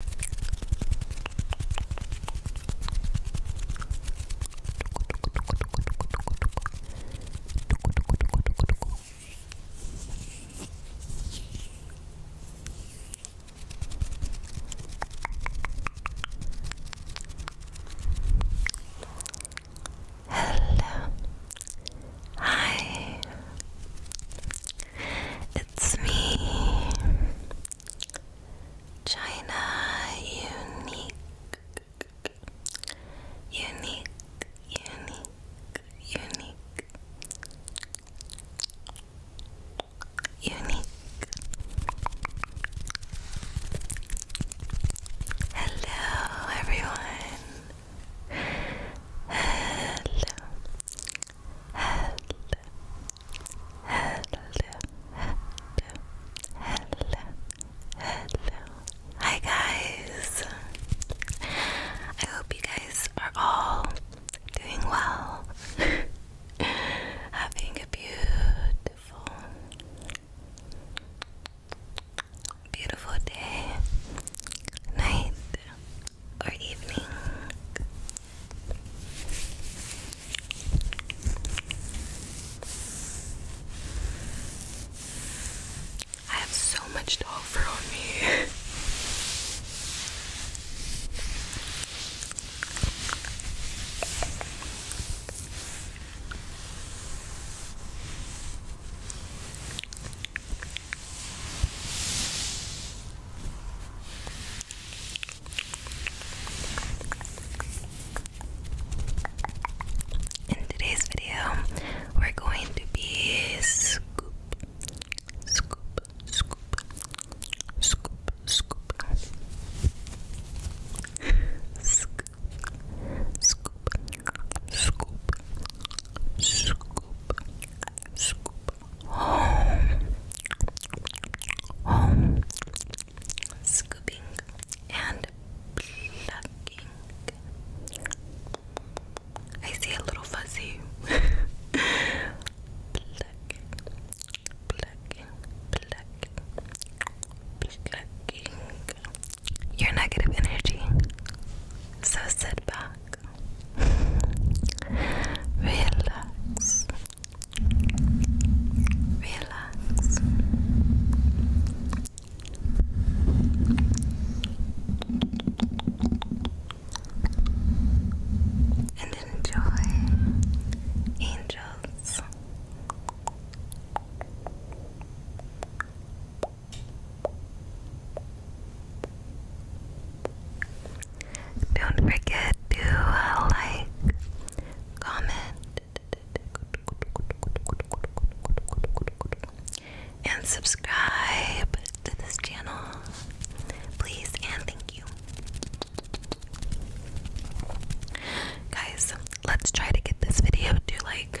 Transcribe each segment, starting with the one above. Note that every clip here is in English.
Hello. Hi. It's me, China Unique, Unique, Unique, Unique, Unique. Hello, everyone. Hello. Hello hello, hello, hello. Hi guys. I hope you guys are all doing well. Having a beautiful beautiful day, night, or evening. I have so much to offer on me. In today's video, we're going to be scoop, scoop, scoop, scoop, scoop, scoop, scoop, scoop, scoop, scoop home, home, scooping and plucking. I see a little fuzzy. plucking, plucking, plucking, plucking. Your negative energy. So sit back. Relax. Relax. And enjoy angels. Don't forget to uh, like, comment, and subscribe to this channel. Please and thank you. Guys, let's try to get this video to like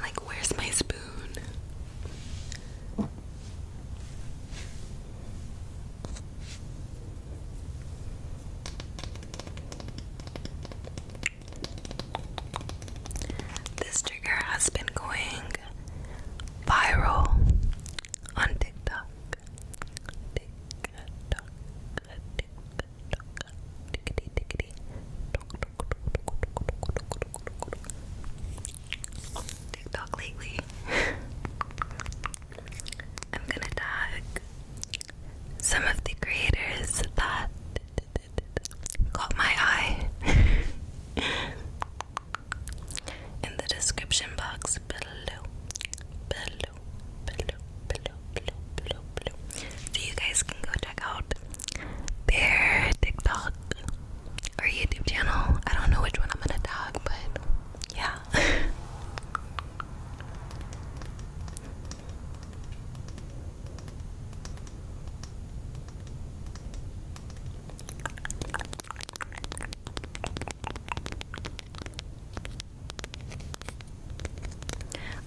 like, where's my spoon? This trigger has been going viral on TikTok, TikTok lately. I'm gonna tag some of the creators that caught my eye in the description box below. Below, below, below, below, below, below. So you guys can go check out their TikTok or YouTube channel. I don't know which one I'm gonna talk, but yeah.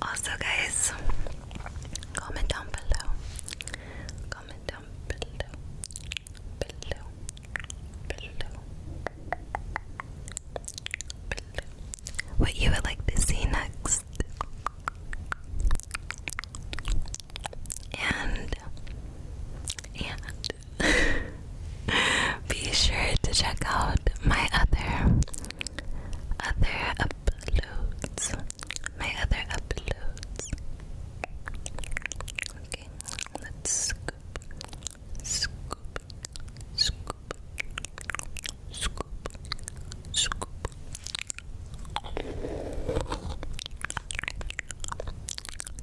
Also, guys, Comment down below. Comment down below. Below. Below. Below. What you would like to see next. And and be sure to check out my other other uploads. My other uploads. Okay, let scoop, scoop, scoop, scoop, scoop.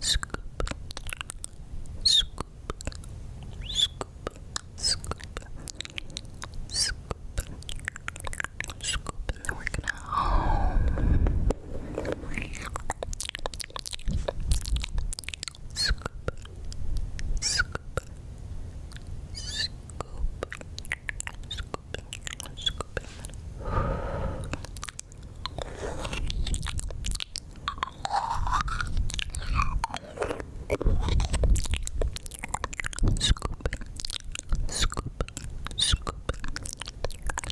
Scoop, scoop, scoop, scoop, scoop, scoop, and then we're gonna home. Scoop, scoop, scoop, scoop, scoop, and then Scoop, scoop, scoop, scoop,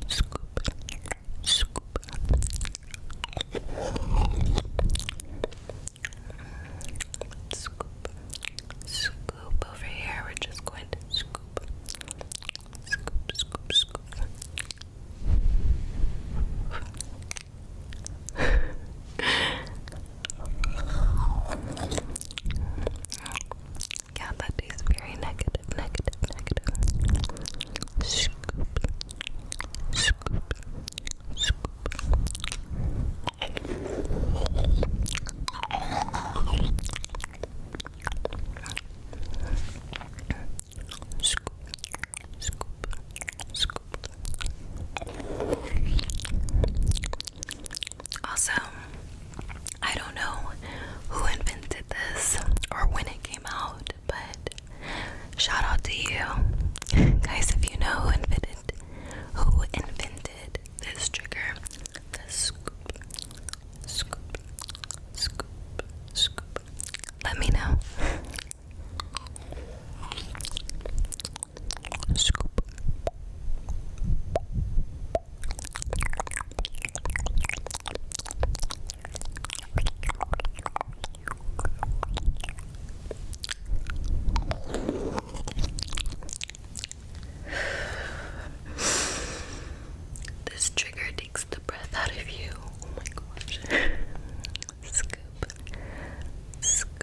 scoop. Scoop, scoop over here. We're just going to scoop, scoop, scoop, scoop. yeah, that very negative, negative, negative. Scoop, scoop, scoop. Scoop, scoop, scoop, also, I don't know who invented this or when it came out, but shout out to you. Guys, if you know who invented who invented this trigger, the scoop, scoop, scoop, scoop. Let me know. Scoop. This trigger takes the breath out of you. Oh my gosh. Scoop. Scoop.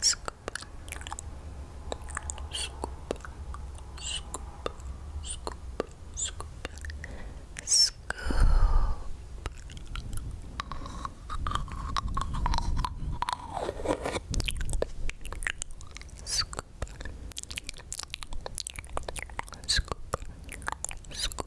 Scoop. Scoop. Scoop. Scoop. Scoop. Scoop. Scoop. Scoop. Scoop.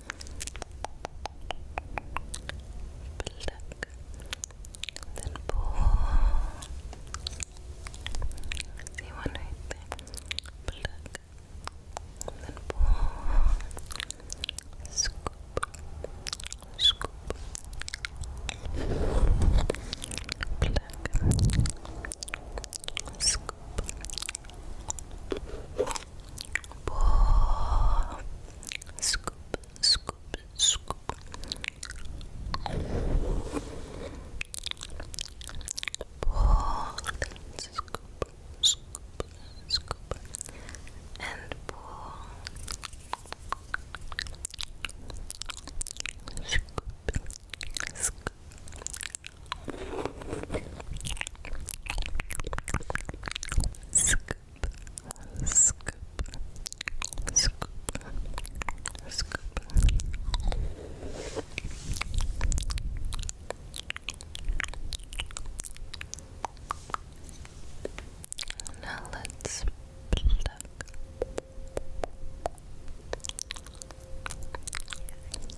Pluck. Then pull. See one right there. Pluck. Then pull. Scoop. Scoop. Pluck. Scoop. Pour. Scoop, scoop, scoop. Pour. Scoop, scoop, scoop. And pour. Scoop, scoop, Scoop, scoop, scoop, scoop. Now let's pluck.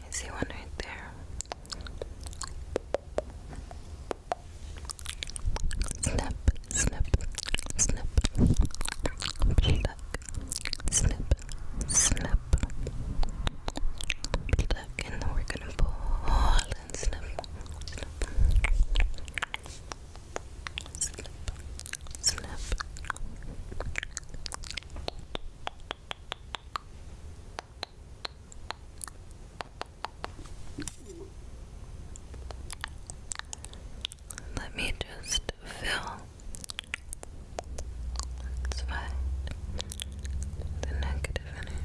I see one right there. Snip, snip, snip, snip, snip, and then we're gonna pull and snip, snip, snip, snip, let me just fill. That's The negative energy.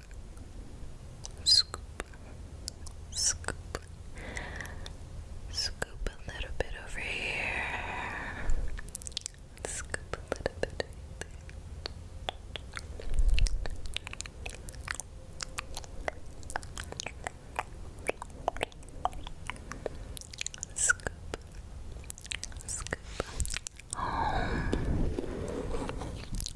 scoop, scoop, scoop a little bit over here, scoop a little bit Scoop, scoop.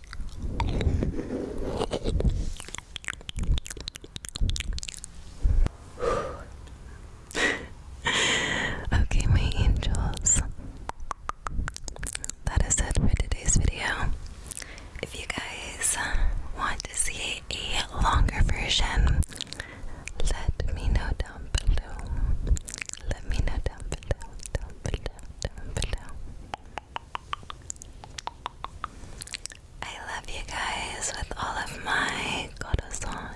okay, my angels. That is it for today's video. If you guys want to see a longer version, let me know down below. Let me know down below, down below, down below. I love you guys with all of my corazón,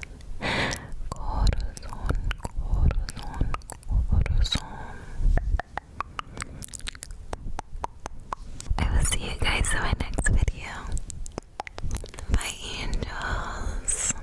corazón, corazón, corazón. I will see you guys in my next video. Bye, angels.